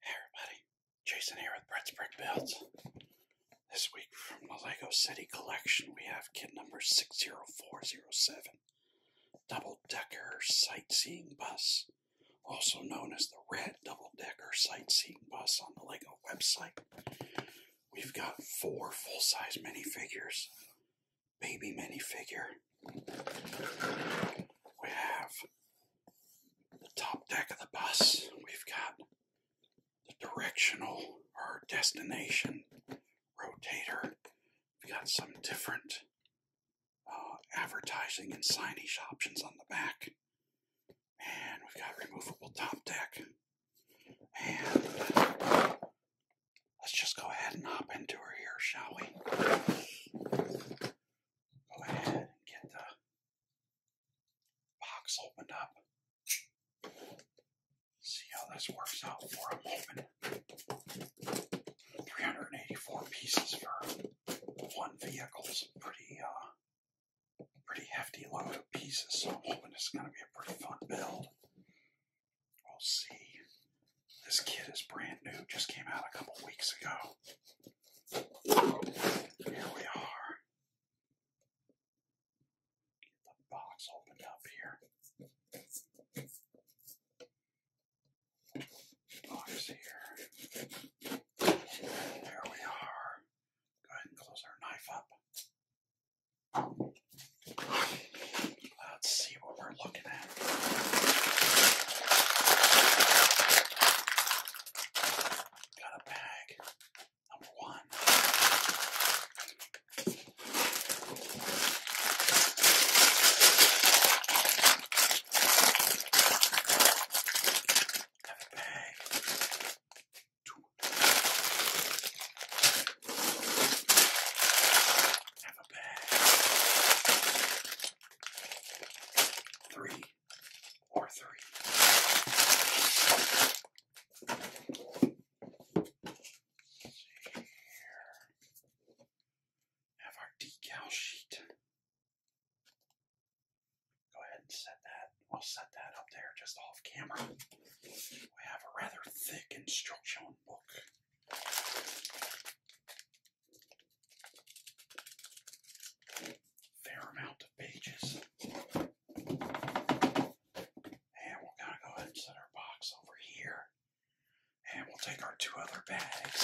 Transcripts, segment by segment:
Hey everybody, Jason here with Brett's Brick Builds. This week from the Lego City Collection, we have kit number 60407, Double Decker Sightseeing Bus, also known as the Red Double Decker Sightseeing Bus on the Lego website. We've got four full size minifigures, baby minifigure. We have the top deck of the bus, we've got the directional or destination rotator. We've got some different uh, advertising and signage options on the back. And we've got removable top deck. And let's just go ahead and hop into her here, shall we? Go ahead and get the box opened up. See how this works out for a moment. 384 pieces for one vehicle is pretty, uh, pretty hefty load of pieces, so I'm hoping this is going to be a pretty fun build. We'll see. This kit is brand new, just came out a couple weeks ago. Here we are. Get the box opened up here. Box here. There we are. Go ahead and close our knife up. Let's see what we're looking at. Got a bag. Number one. Got a bag. Two. Have a bag. Three or 3 Have our decal sheet. Go ahead and set that. I'll set that up there just off camera. We have a rather thick instructional book fair amount of pages. And we're going to go ahead and set our box over here. And we'll take our two other bags.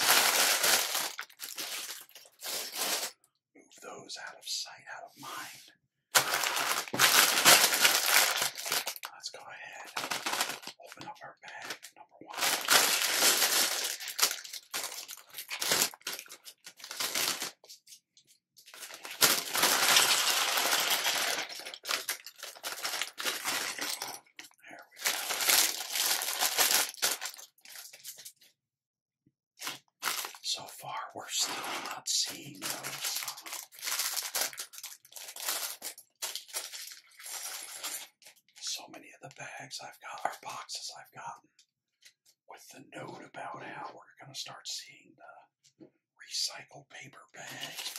Move those out of sight, out of mind. Let's go ahead. Open up our bag number one. There we go. So far, we're still not seeing those. So many of the bags I've got, or boxes I've gotten, with the note about how we're going to start seeing the recycled paper bags.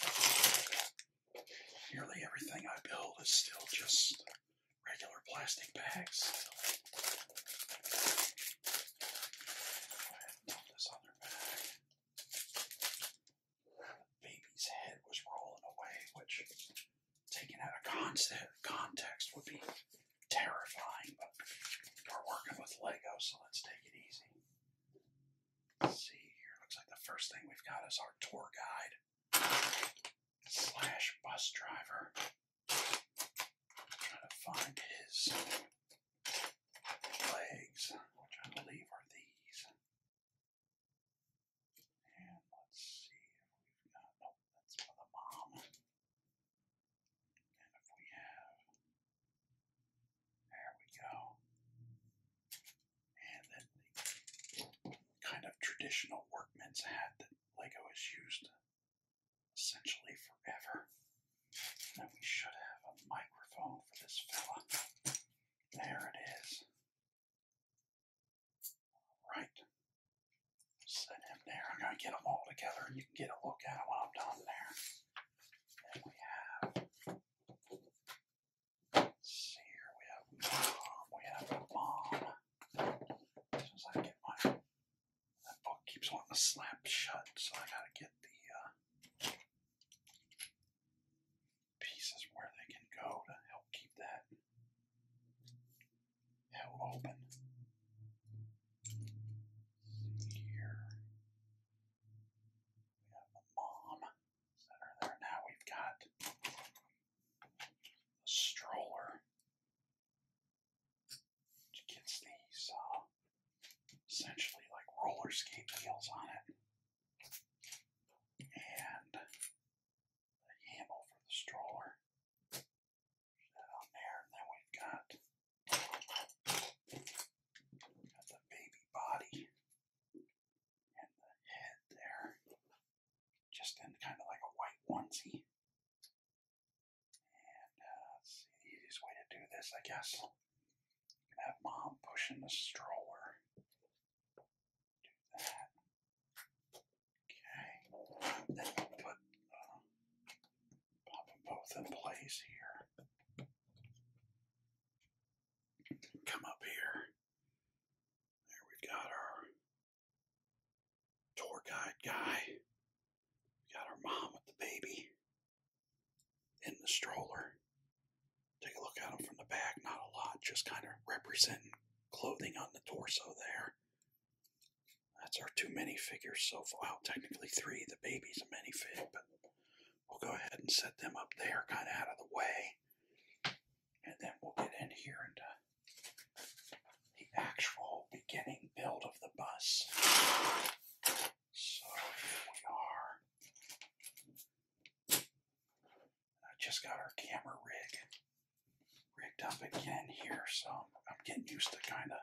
Nearly everything I build is still just regular plastic bags. Go ahead and dump this other bag. baby's head was rolling away, which taken out of context would be terrifying, but we're working with Lego, so let's take it easy. see here. Looks like the first thing we've got is our tour guide slash bus driver. trying to find his legs, which I believe are these. And let's see we've got. Nope, that's for the mom. And if we have, there we go. And then kind of traditional workman's hat that Lego has used essentially forever. then we should have a microphone for this fella. There it is. All right. Set him there. I'm going to get them all together and you can get a look at them when I'm done there. we have, see here, we have mom, we have a mom. As I get my, that book keeps wanting to slap shut, so I got to get the uh, pieces where they can go to help keep that now open. Let's here. We have a mom that there. Now we've got the stroller. Which gets these uh, essentially like roller wheels on it. And the handle for the stroller that there. And then we've got, the baby body and the head there, just in kind of like a white onesie. And uh, easiest way to do this, I guess. have mom pushing the stroller. Okay. Then we'll put, um, both in place here. Come up here. There we've got our tour guide guy. We got our mom with the baby in the stroller. Take a look at him from the back, not a lot, just kind of representing clothing on the torso there. That's our two minifigures so far. Well, technically three. The baby's a minifig, but we'll go ahead and set them up there, kind of out of the way. And then we'll get in here into the actual beginning build of the bus. So here we are. I just got our camera rig rigged up again here, so I'm getting used to kind of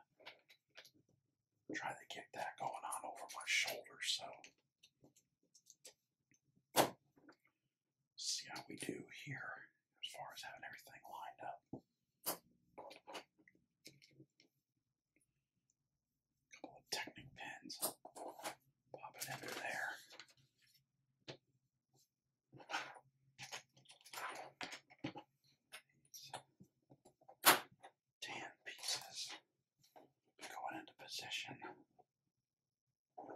trying to get that going on over my shoulder. So, see how we do here as far as having everything lined up. couple of Technic pins, pop it into there. Ten pieces going into position. And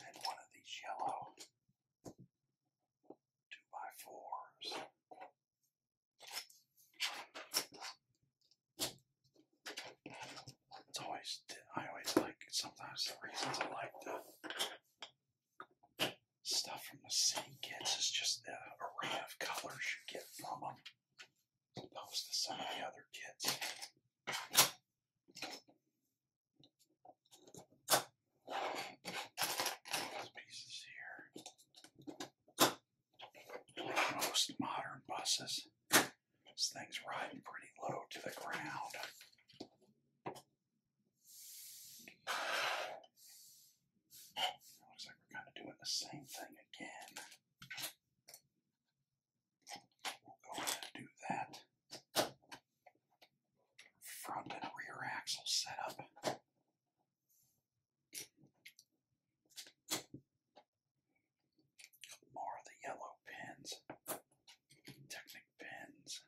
then one of these yellow two by fours. It's always I always like sometimes the reasons I like the stuff from the city gets is just the array of colors you get from them, opposed to some of the other kits. pieces here. most modern buses, this thing's riding pretty low to the ground. Looks like we're kind of doing the same thing again. We'll go ahead and do that. Front and rear axle setup. More of the yellow pins, Technic pins,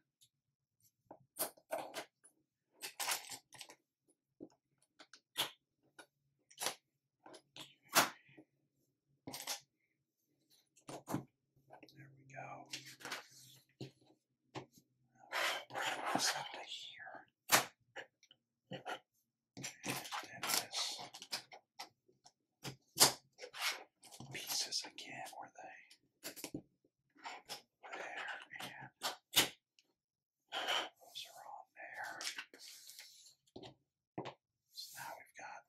there we go. Bring this up to here. And then this pieces again, were they? There, and those are on there. So now we've got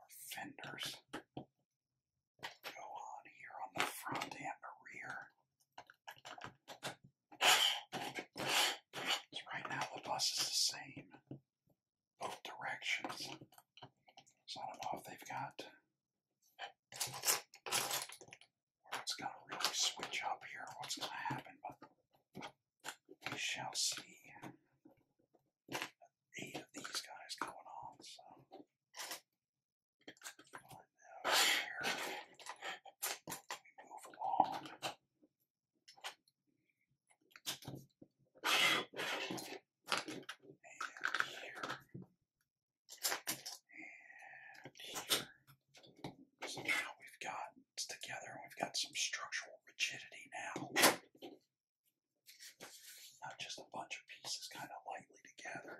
our fenders go on here on the front and the rear. So right now the bus is the same both directions. So I don't know if they've got where it's going to really switch up here, what's going to happen, but we shall see. Eight of these guys going on, so. here we move along and So now we've got, it's together and we've got some structural rigidity now. Not just a bunch of pieces kind of lightly together.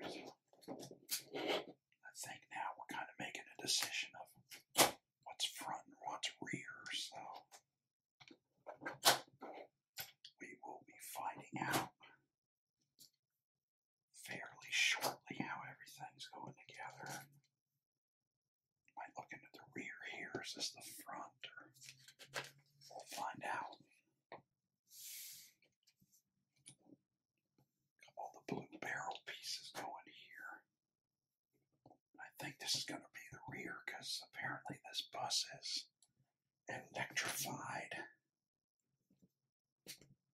I think now we're kind of making a decision of what's front and what's rear, so we will be finding out fairly shortly how everything's going together. Might look into the rear here. Is this the front? we'll find out. all the blue barrel pieces going here. I think this is going to be the rear because apparently this bus is electrified.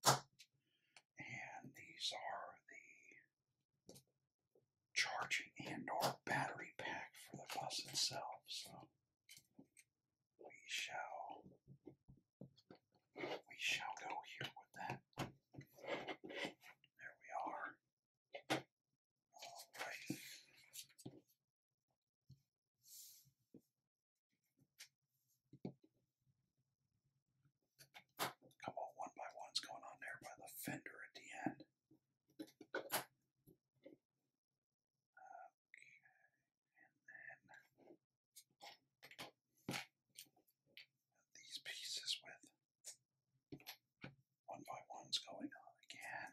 And these are the charging and or battery pack for the bus itself. So we shall we shall go here with that. There we are. Alright. A couple one by ones going on there by the fender at the end. Okay, and then these pieces with one by ones going on again.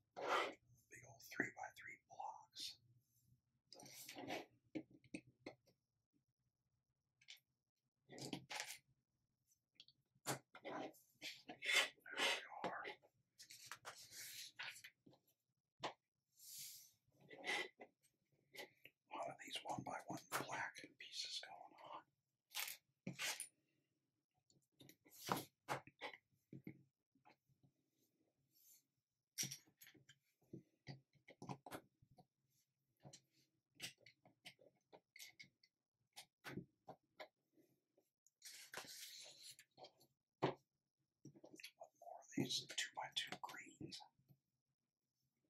Big old three by three blocks. There we are. A lot these one by one black pieces going on these two by two greens.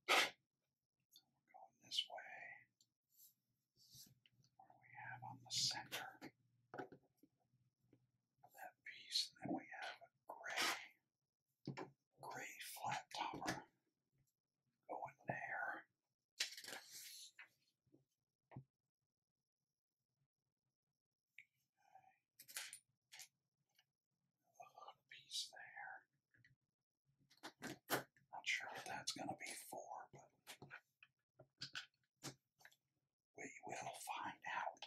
going this way we have on the center that piece, and then we have a gray, gray flat topper going there. A hook piece there. Not sure what that's going to be for, but we will find out.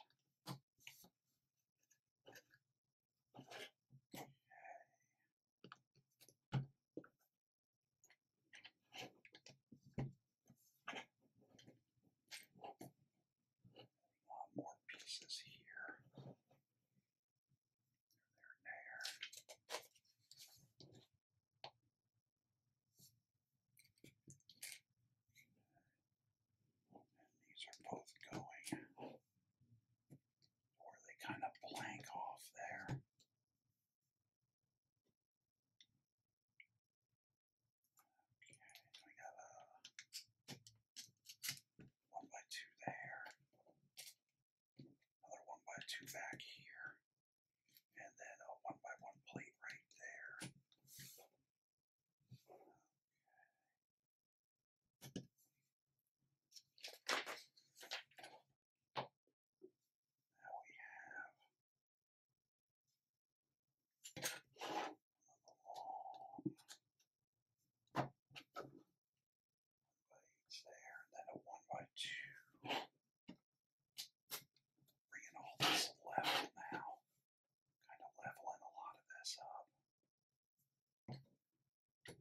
Okay. More pieces here. There, there these are both going where they kind of blank off there. we got a one by two there. Another one by two back here and then a one by one plate right there. Now we have another long plates there, and then a one by two bringing all this level now, kind of leveling a lot of this up. And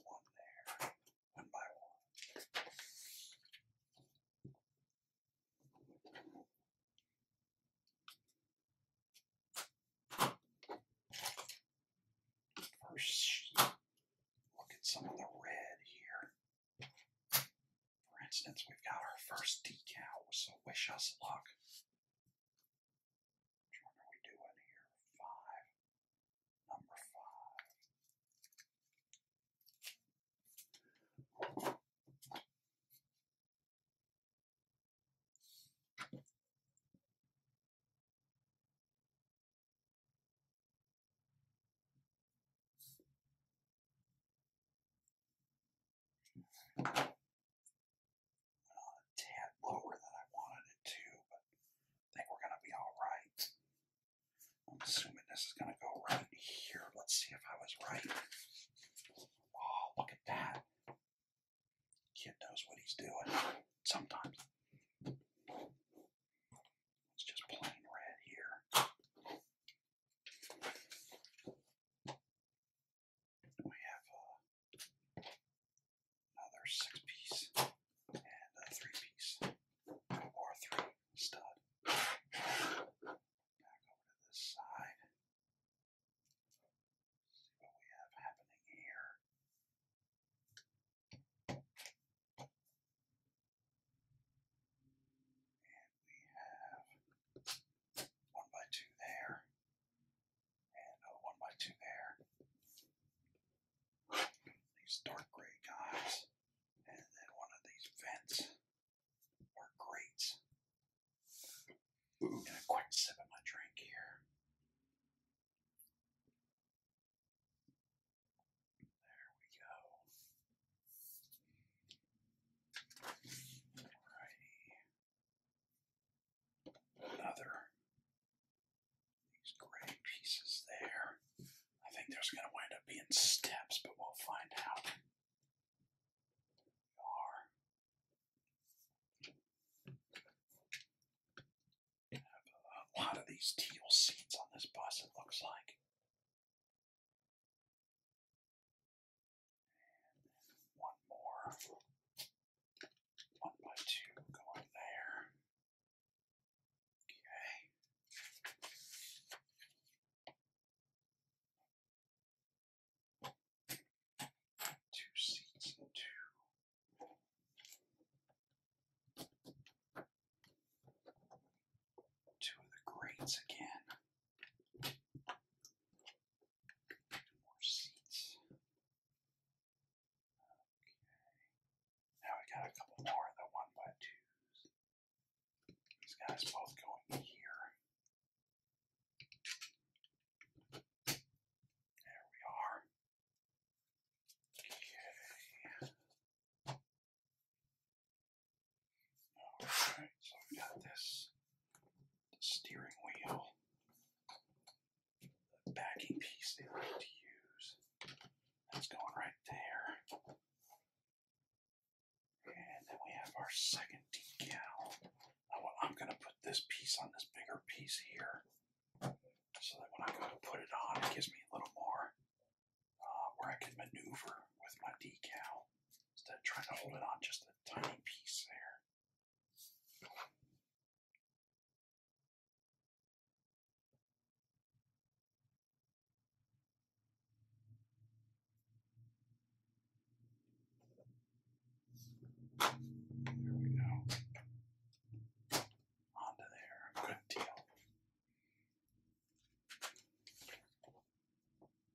one there, one by one. First Look at some of the red here. For instance, we've got our first decal, so wish us luck. Which are we doing here? Five. Number five a tad lower than I wanted it to, but I think we're going to be all right. I'm assuming this is going to go right here. Let's see if I was right. Oh, look at that. Kid knows what he's doing sometimes. It's just plain red here. We have uh, another six piece and a three piece or three stud. Back over to this side see what we have happening one by two there, and a one by two there. These dark gray guys, and then one of these vents or grates. Ooh. And quick sip of my drink here. There we go. Another these gray pieces there. I think there's gonna wind up being steps, but we'll find out. are a lot of these teal seats on this bus, it looks like. one more. One by two going there. Okay. Two seats and two Two of the greats again. Two more seats. Okay. Now we got a couple more of the one by twos. These guys both going here. There we are. Alright, so i got this steering wheel, backing piece they like to use. That's going right there. And then we have our second decal. I'm going to put this piece on this bigger piece here so that when I go to put it on, it gives me a little more uh, where I can maneuver with my decal instead of trying to hold it on just a tiny piece there. There we go onto there. Good deal.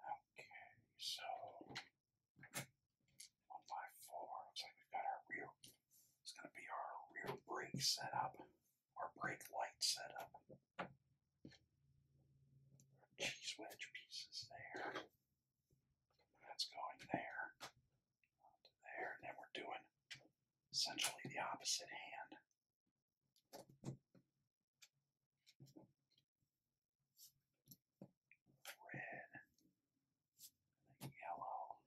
Okay, so one Looks like we've got our rear. It's going to be our rear brake setup, our brake light setup. Cheese wedge pieces there. That's going there there, then we're doing essentially the opposite hand. Red, yellow.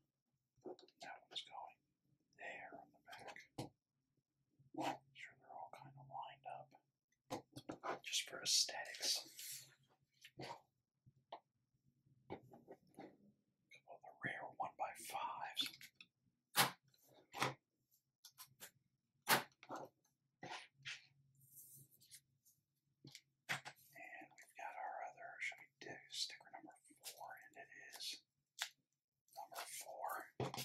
That one's going there on the back. sure they're all kind of lined up just for aesthetics couple of the rare one by fives. And we've got our other, should we do sticker number four? And it is number four.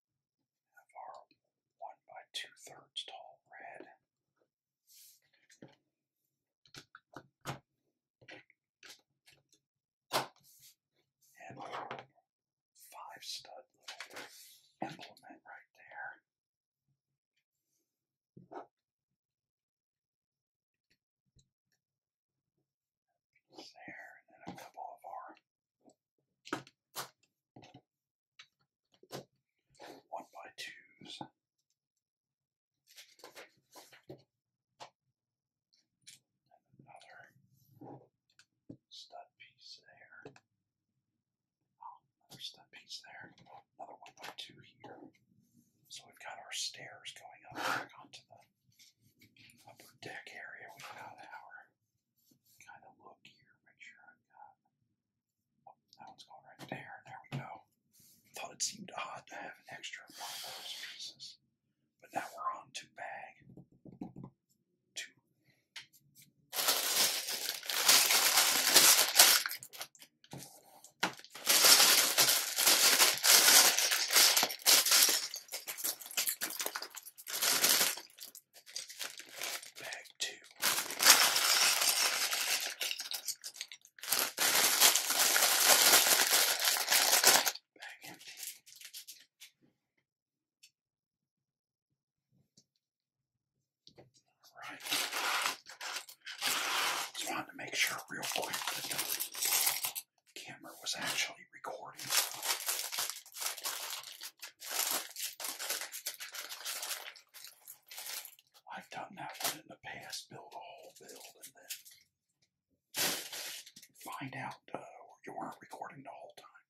of our one by two thirds tall red. And five stud implement right there. There, and then a couple of our one by twos. another stud piece there. Oh, another stud piece there. Another one by two here. So we've got our stairs going up back onto the upper deck area. we got our kind of look here. Make sure i got that one's going right there. There we go. Thought it seemed odd to have an extra one of those pieces. But now we're on to bag two. Bag two. Bag empty. Alright. Just wanted to make sure real quick that the camera was actually recording. I've done that one in the past, build a whole build and then find out uh, you weren't recording the whole time.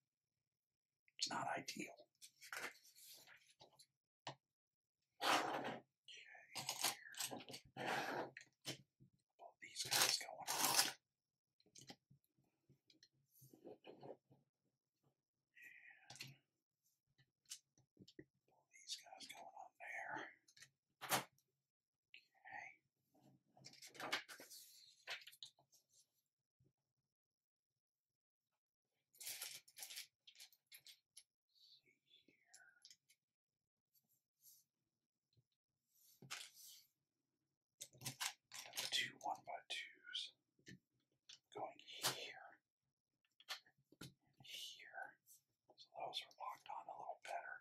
It's not ideal. Okay. these guys going on these guys going on there. Okay. See here. Two one by twos going here here. So those are locked on a little better.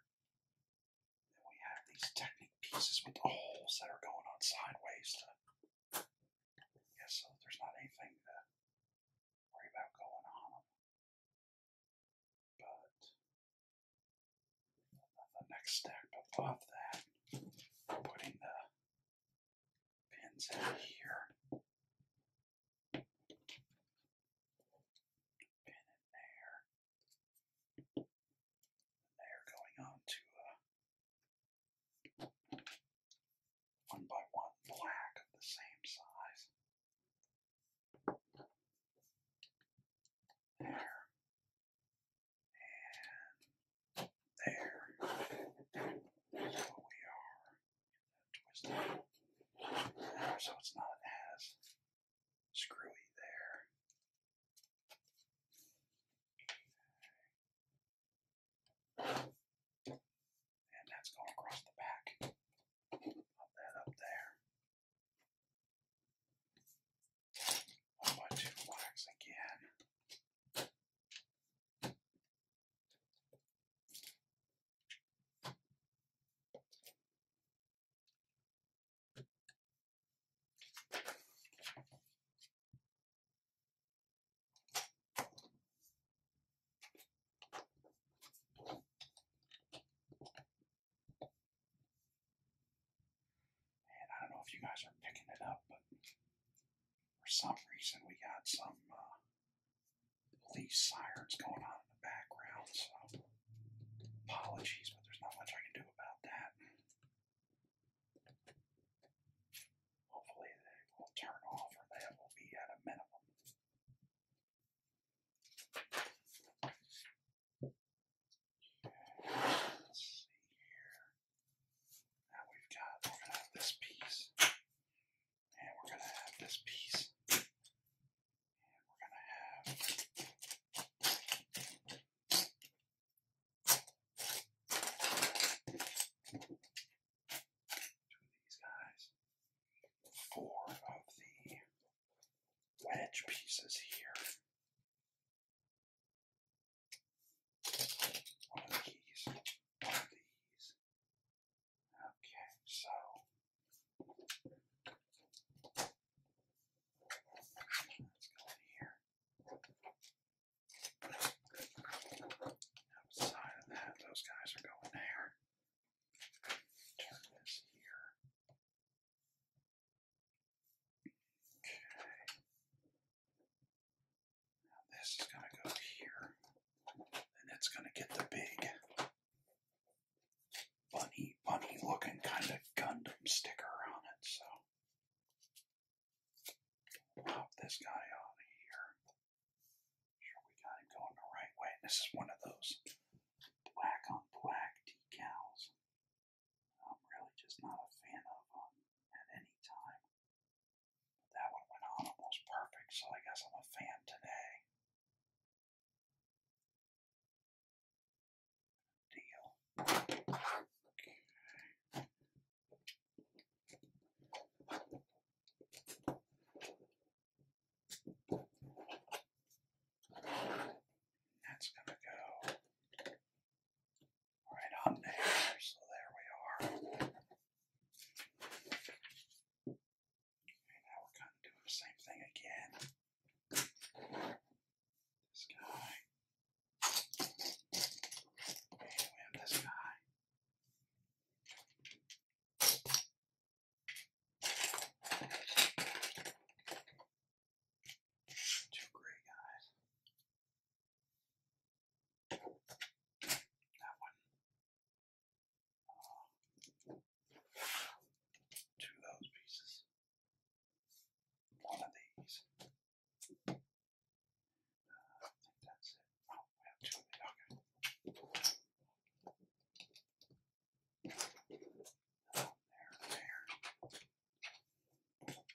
then we have these technique pieces with the holes that are going on sideways to so there's not anything to worry about going on But the next step above that, putting the pins out here. Pin in there. they're going on to uh, one by one black the same size. There. There. So we are twisted. So it's not as screwy there. And that's going across the back. Pop that up there. One by two blacks again. And I don't know if you guys are picking it up, but for some reason we got some uh, police sirens going on in the background, so apologies, but there's not much I can do about that. Hopefully they will turn off or they will be at a minimum. Now we've got, we're going to have this piece, and we're going to have this piece, and we're going to have two of these guys, four of the wedge pieces here. One of these. One of these. Okay, so. Let's go in here. Outside of that, those guys are going there. Turn this here. Okay this is going to go here, and it's going to get the big bunny, bunny looking kind of Gundam sticker on it. So pop this guy out here. Sure, we got him going the right way. This is one of those black on black decals. I'm really just not a fan of them at any time that one went on almost perfect, so I guess I'm a fan today. Deal. Okay. That's gonna go all right, on there. So there we are. now we're kind of doing the same thing again. This guy. And we Two gray guys. That one. Um, two of those pieces. One of these. Uh, I think that's it. Oh, we have two of the okay. There, there.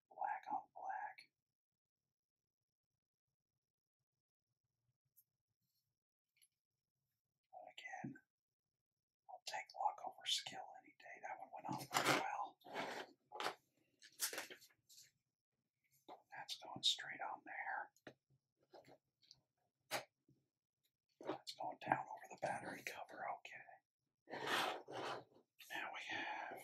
black on black. again, I'll take luck over skill any day. That one went off pretty well. That's going straight on there. That's going down over the battery cover, okay. Now we have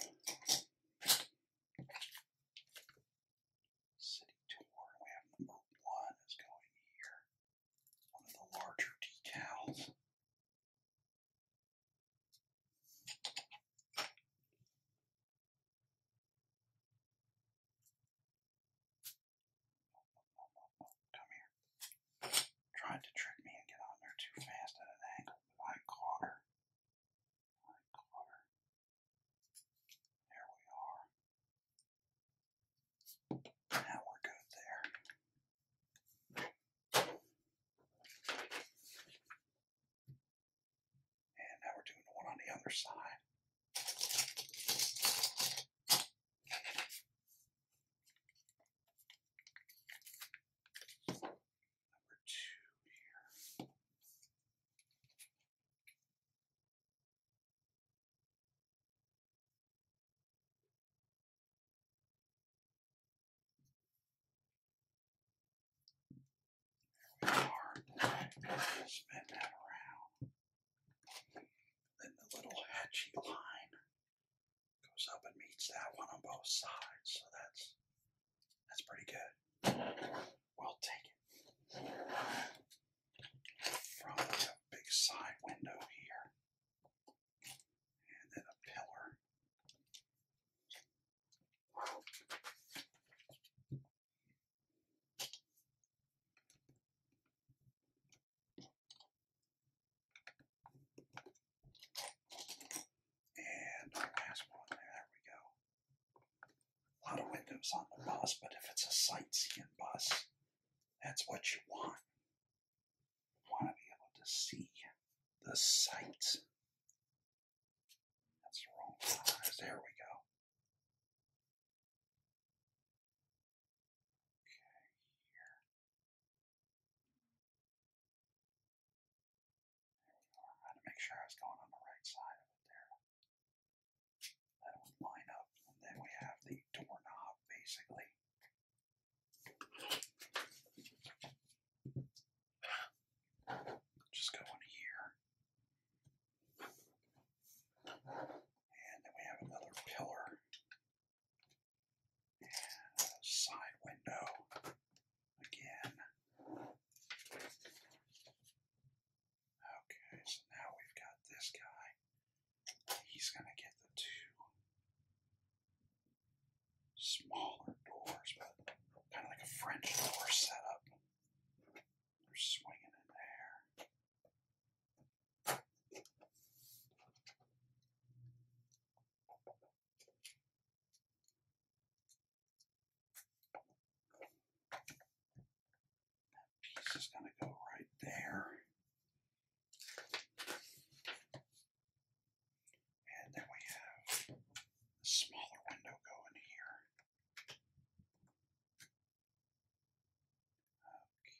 City Tour. We have number one is going here. One of the larger decals. Come here. Trying to trick me and get on there too fast at an angle, but I caught her. There we are. Now we're good there. And now we're doing the one on the other side two Spin that around. Then the little hatchy line goes up and meets that one on both sides. So that's that's pretty good. We'll from the big side window here, and then a pillar. And the last one, there we go. A lot of windows on the bus, but if it's a sightseeing bus, that's what you want. want to be able to see the sights. That's the wrong size. There we go. Okay, here. I had to make sure I was going on the right side of it there. That would line up. then we have the doorknob, basically. Just go here. And then we have another pillar side window again. Okay, so now we've got this guy. He's going to get the two smaller doors, but kind of like a French door setup. They're swinging in there. That piece is going to go right there. And then we have a smaller window going here. Okay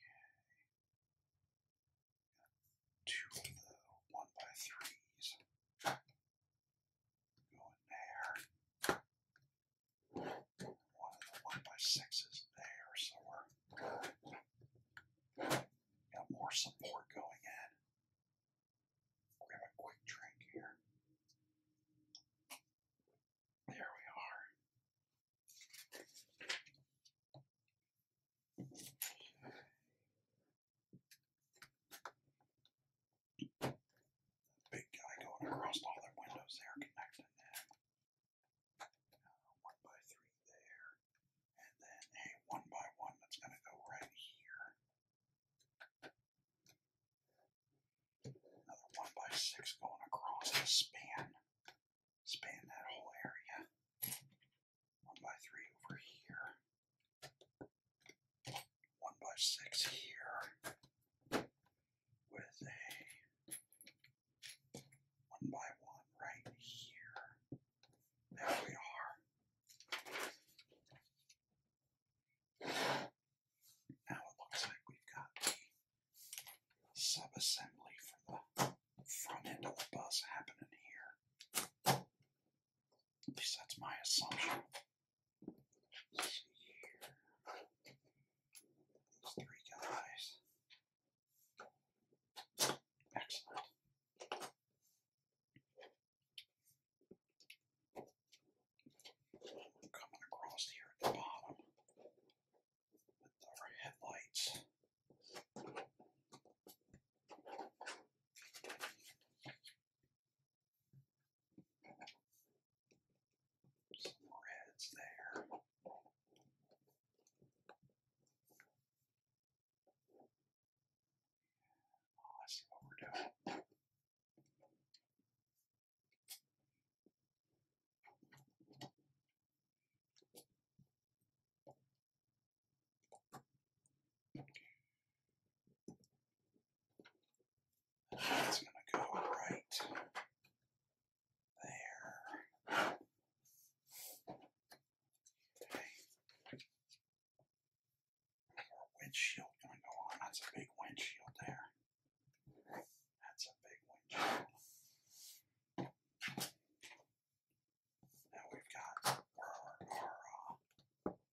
two of the one by threes. Go in there. One of the one by sixes there, so we're got more support going in. we have a quick drink here. There we are. Big guy going across all the windows there, connecting that. one by three there. And then a one by one that's going to go right here. Another one by six going across the span. Span that whole area. 1 by 3 over here, 1 by 6 here, with a 1 by 1 right here. There we are. Now it looks like we've got the subassembly for the front end of the bus happening here. At least that's my assumption. These three guys. Excellent. coming across here at the bottom with our headlights. Some reds there. Well, oh, let's see what we're doing. That's going to go right there. Okay. windshield going to go on. That's a big windshield there. That's a big windshield. Now we've got our,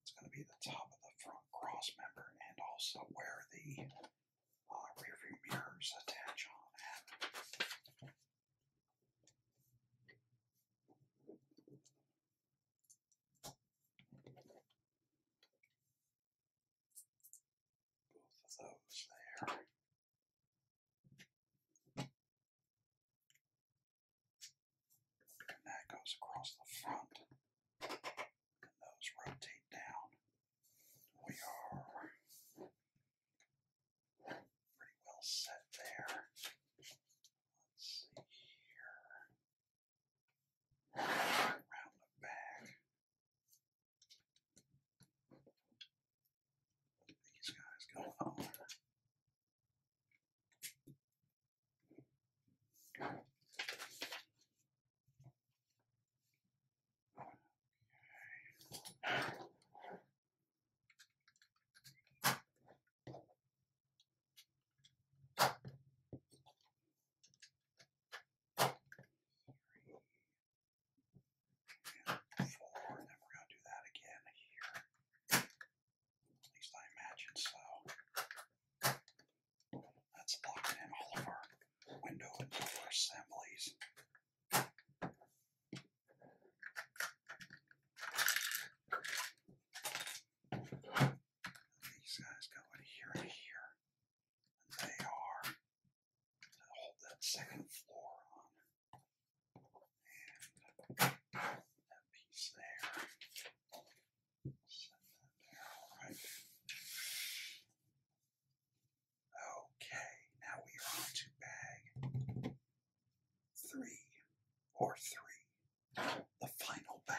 it's going to be the top of the front cross and also where the uh, rear view mirrors attach on Both of those there. And that goes across the front. And those rotate down. We are pretty well set there. Let's see here. Around the back. These guys go on. Four, and then we're going to do that again here. At least I imagine so. That's locked in all of our window assemblies. These guys go here and here. they are to hold that second floor on. And that piece there. Okay, now we are on to bag three or three. The final bag.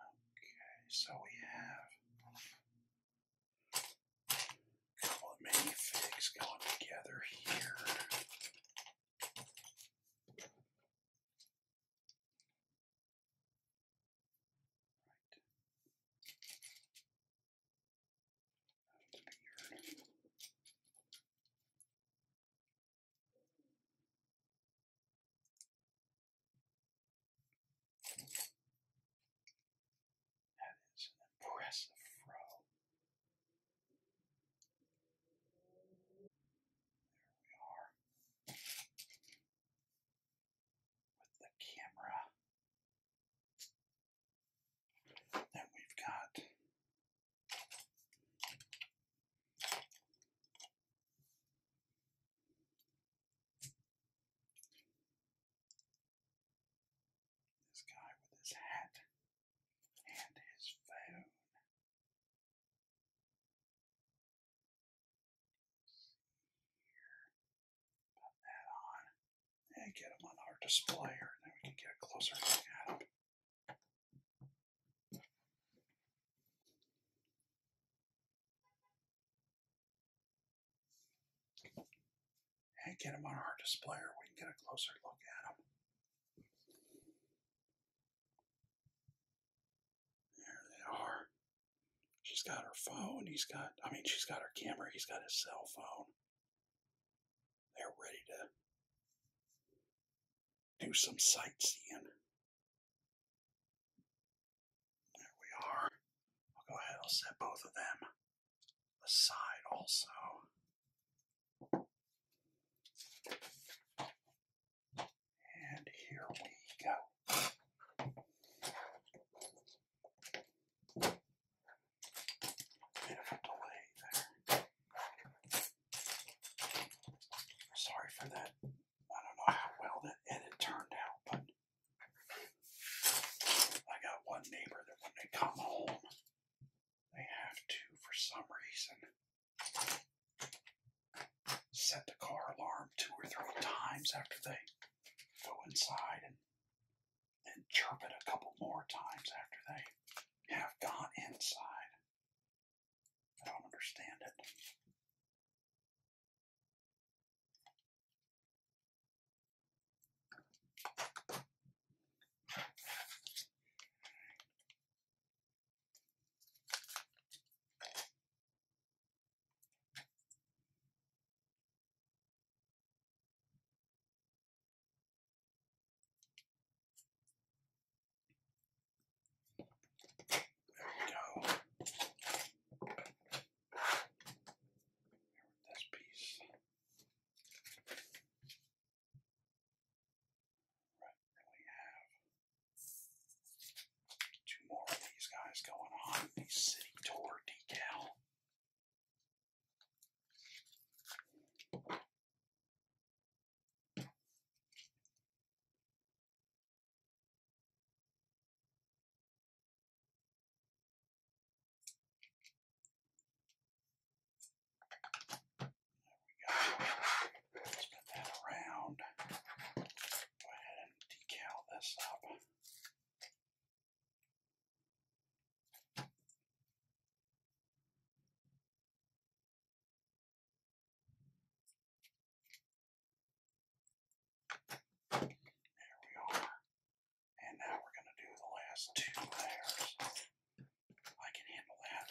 Okay, so we have a couple of minifigs going together here. Right. That's an impressive fro. There we are. With the camera then we've got this guy with his hat and his phone. Put that on and get them on our displayer, and then we can get a closer look at them. And get them on our display here, we can get a closer look at them. There they are. She's got her phone, he's got, I mean, she's got her camera, he's got his cell phone. They're ready to do some sightseeing. There we are. I'll go ahead, I'll set both of them aside also. And here we go. Bit of Sorry for that. I don't know how well that edit turned out, but I got one neighbor that when they come home, they have to, for some reason, set the car alarm two or three times after they go inside and and chirp it a couple more times after they have gone inside. I don't understand it. There we go. This piece then we have two more of these guys going on the city tour decal Let's put that around. Go ahead and decal this up. There we are. And now we're going to do the last two layers. I can handle that.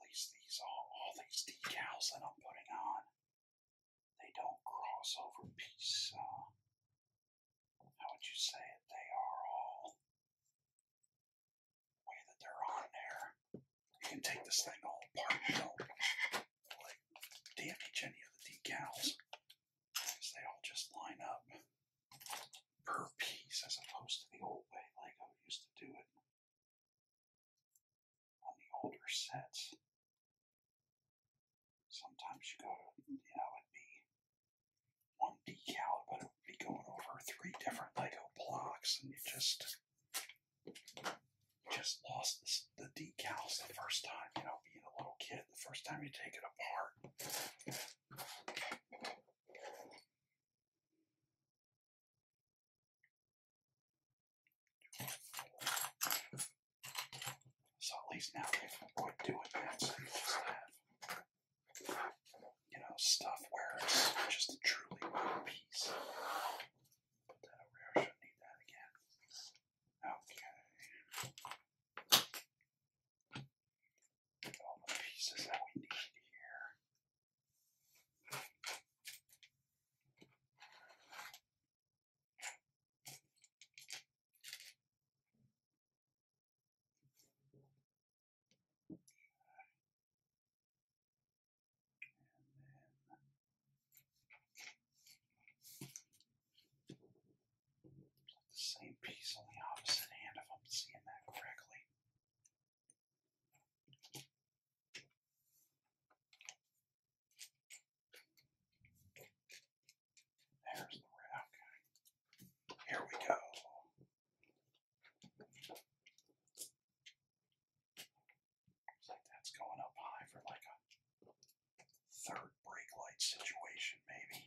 At these all these decals that I'm putting on they don't cross over peace. Uh, how would you say it? They are all the way that they're on there. You can take this thing all apart don't damage any of the decals because they all just line up per piece as opposed to the old way Lego used to do it on the older sets. Sometimes you go, you know, it'd be one decal, but it would be going over three different Lego blocks, and you just just lost the decals the first time. You know, being a little kid, the first time you take it apart. So at least now they can quit doing that you know stuff where it's just a truly one piece. Put that over here. I should need that again. Okay. all the pieces that we need here same piece on the opposite hand if I'm seeing that correctly. There's the red. Okay. Here we go. that's going up high for like a third brake light situation, maybe.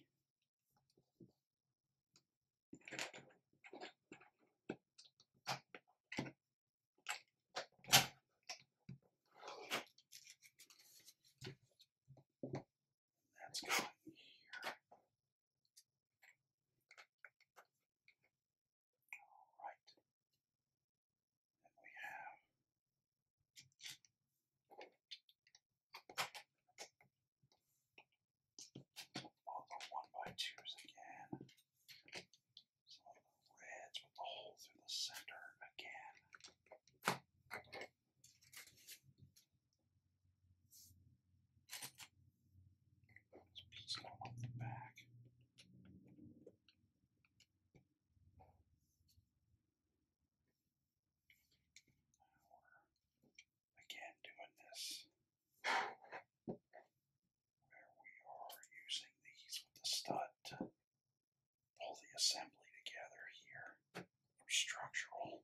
That's going here. All right. we have all the one by twos again. So the reds with the hole through the center again. Just piece it all the back. again doing this where we are using these with the stud pull the assembly together here for structural.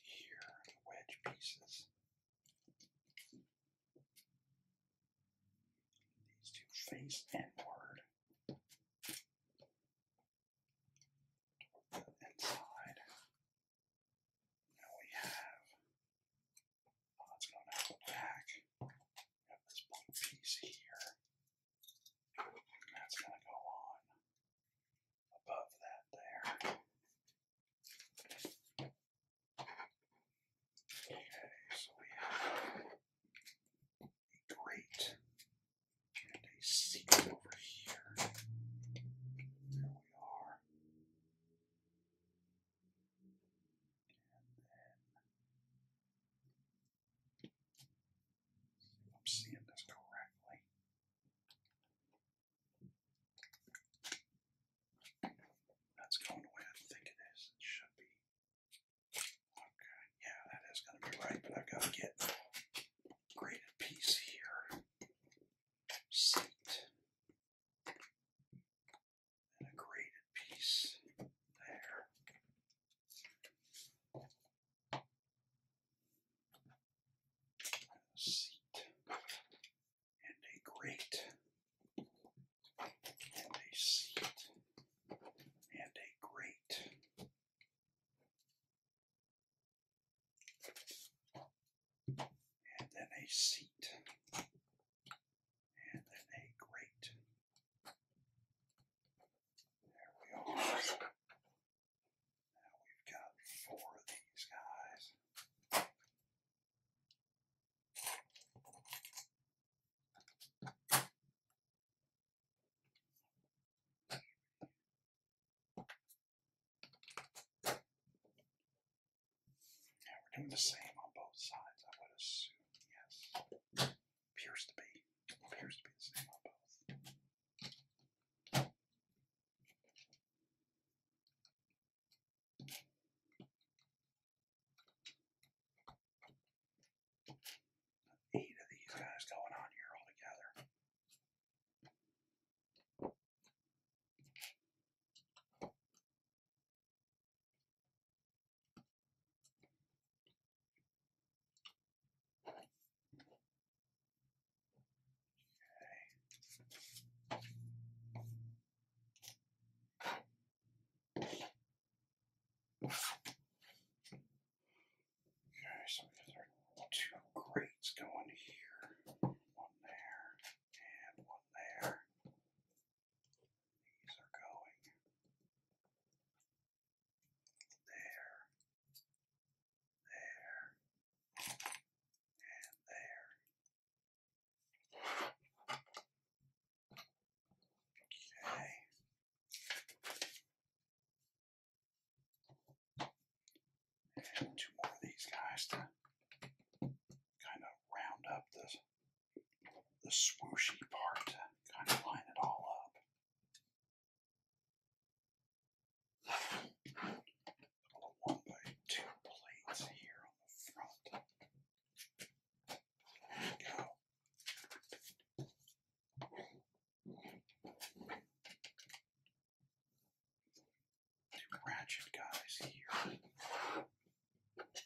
Here the wedge pieces. These two face inward toward the inside. Now we have, oh, let's go back. We have this blue piece here. that's going to go on above that there. Okay, so we have a grate and a seat over here. There we are. I'm seeing this correctly. That's going the I think it is. It should be. Okay, yeah, that is going to be right, but I've got to get a graded piece here. Seat. And a graded piece there. seat and a great, and a seat and a great, And then a seat. And then a great. There we are. Now we've got four of these guys we're doing the same on both sides, I would assume. Yes. Appears to be. Appears to be the same on both. Eight of these guys going on here all together. Okay, so these are two grates going here, one there, and one there. These are going there, there, and there. Okay. two more of these guys to kind of round up the, the swooshy part to kind of line it all up one by two plates here on the front. go. Two ratchet guys here. Okay,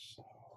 so here.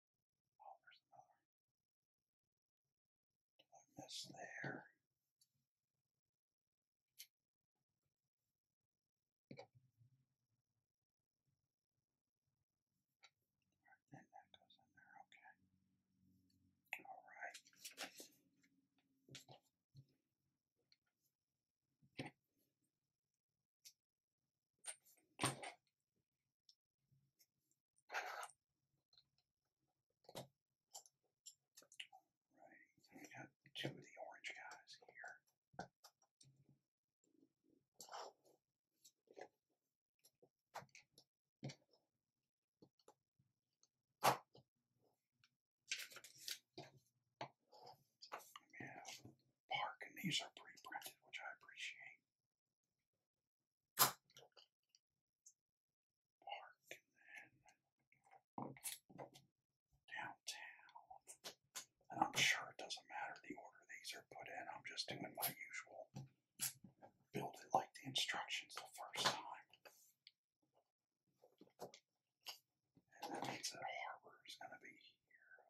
Oh, there's another. Did I miss there? then that goes in there, okay. Alright. Right, got two of the orange guys here. We Park, and these are pre-printed, which I appreciate. Park then downtown. And I'm sure it doesn't matter the order these are put in. I'm just doing my usual build it like the instructions the first time. And that means that Harbor is going to be here.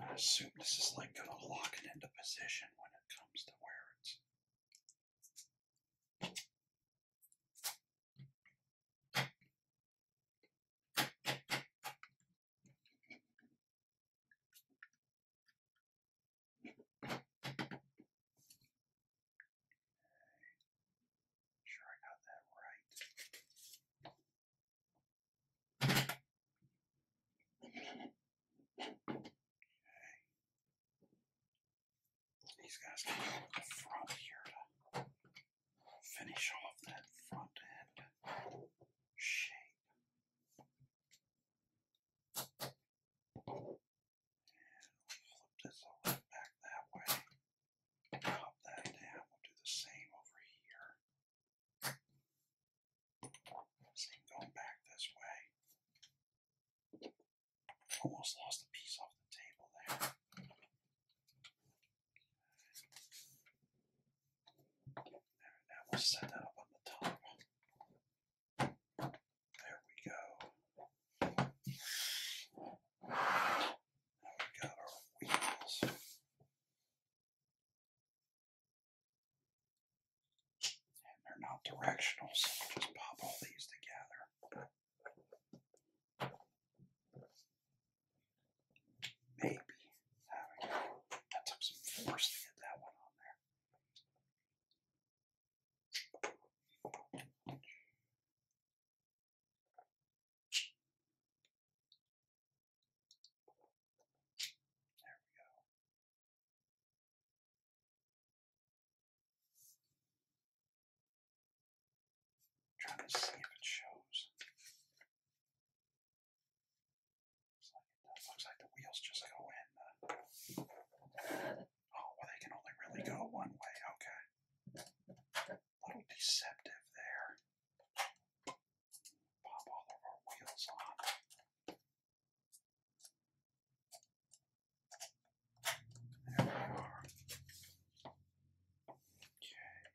I assume this is like going to lock it into position when it comes to where it's. Sure, I got that right. These guys can go with the front here to finish off that front end shape. And flip this back that way. Pop that down. We'll do the same over here going back this way. Almost lost a piece off the table there. There, now we'll set that up on the top. There we go. Now we got our wheels they're not directional, so we'll just pop all these together. Maybe. There we go. some force to get that one on there. There we go. I'm trying to see if it shows. Looks like, the wheels just go in. Oh, well, they can only really go one way. Okay. little deceptive there. Pop all of our wheels on. There we Okay,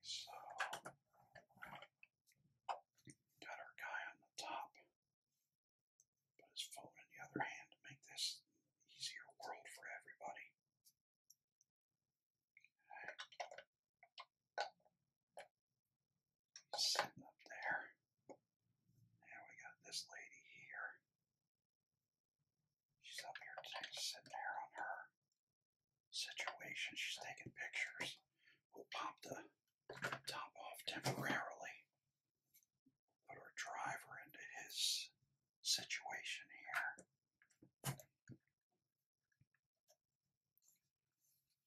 so got our guy on the top. Put his phone in the other hand to make this easier world for everybody sitting up there. And we got this lady here. She's up here sitting there on her situation. She's taking pictures. We'll pop the top off temporarily. Put our driver into his situation here.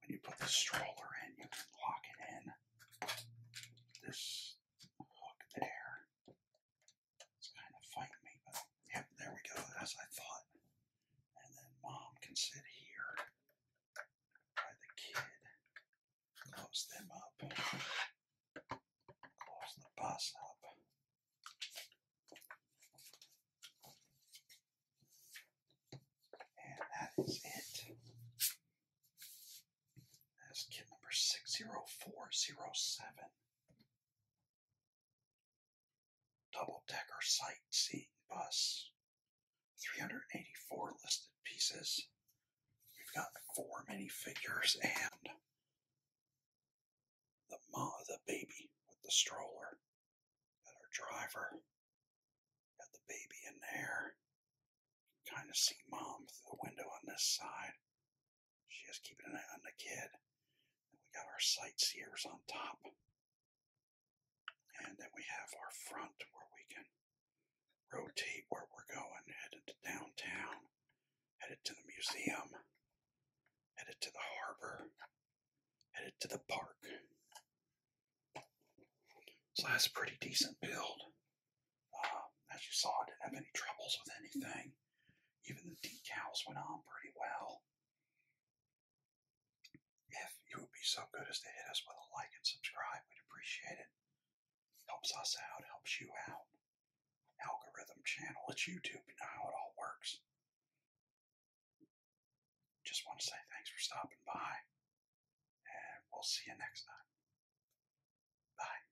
when you put the stroller in, you can lock it in. This hook there. It's kind of fighting me, but yep, there we go, as I thought. And then mom can sit here by the kid, close them up, close the bus up. And that is it. That's kit number 60407. Double decker sightseeing bus. 384 listed pieces. We've got four minifigures and the ma, the baby with the stroller, and our driver, Got the baby in there. Kind of see mom through the window on this side. She is keeping an eye on the kid. And we got our sightseers on top. And then we have our front where we can rotate where we're going, headed to downtown, headed to the museum, headed to the harbor, headed to the park. So that's a pretty decent build. as you saw, I didn't have any troubles with anything. Even the decals went on pretty well. If you would be so good as to hit us with a like and subscribe, we'd appreciate it. Helps us out, helps you out. Algorithm channel, it's YouTube, know how it all works. Just want to say thanks for stopping by. And we'll see you next time. Bye.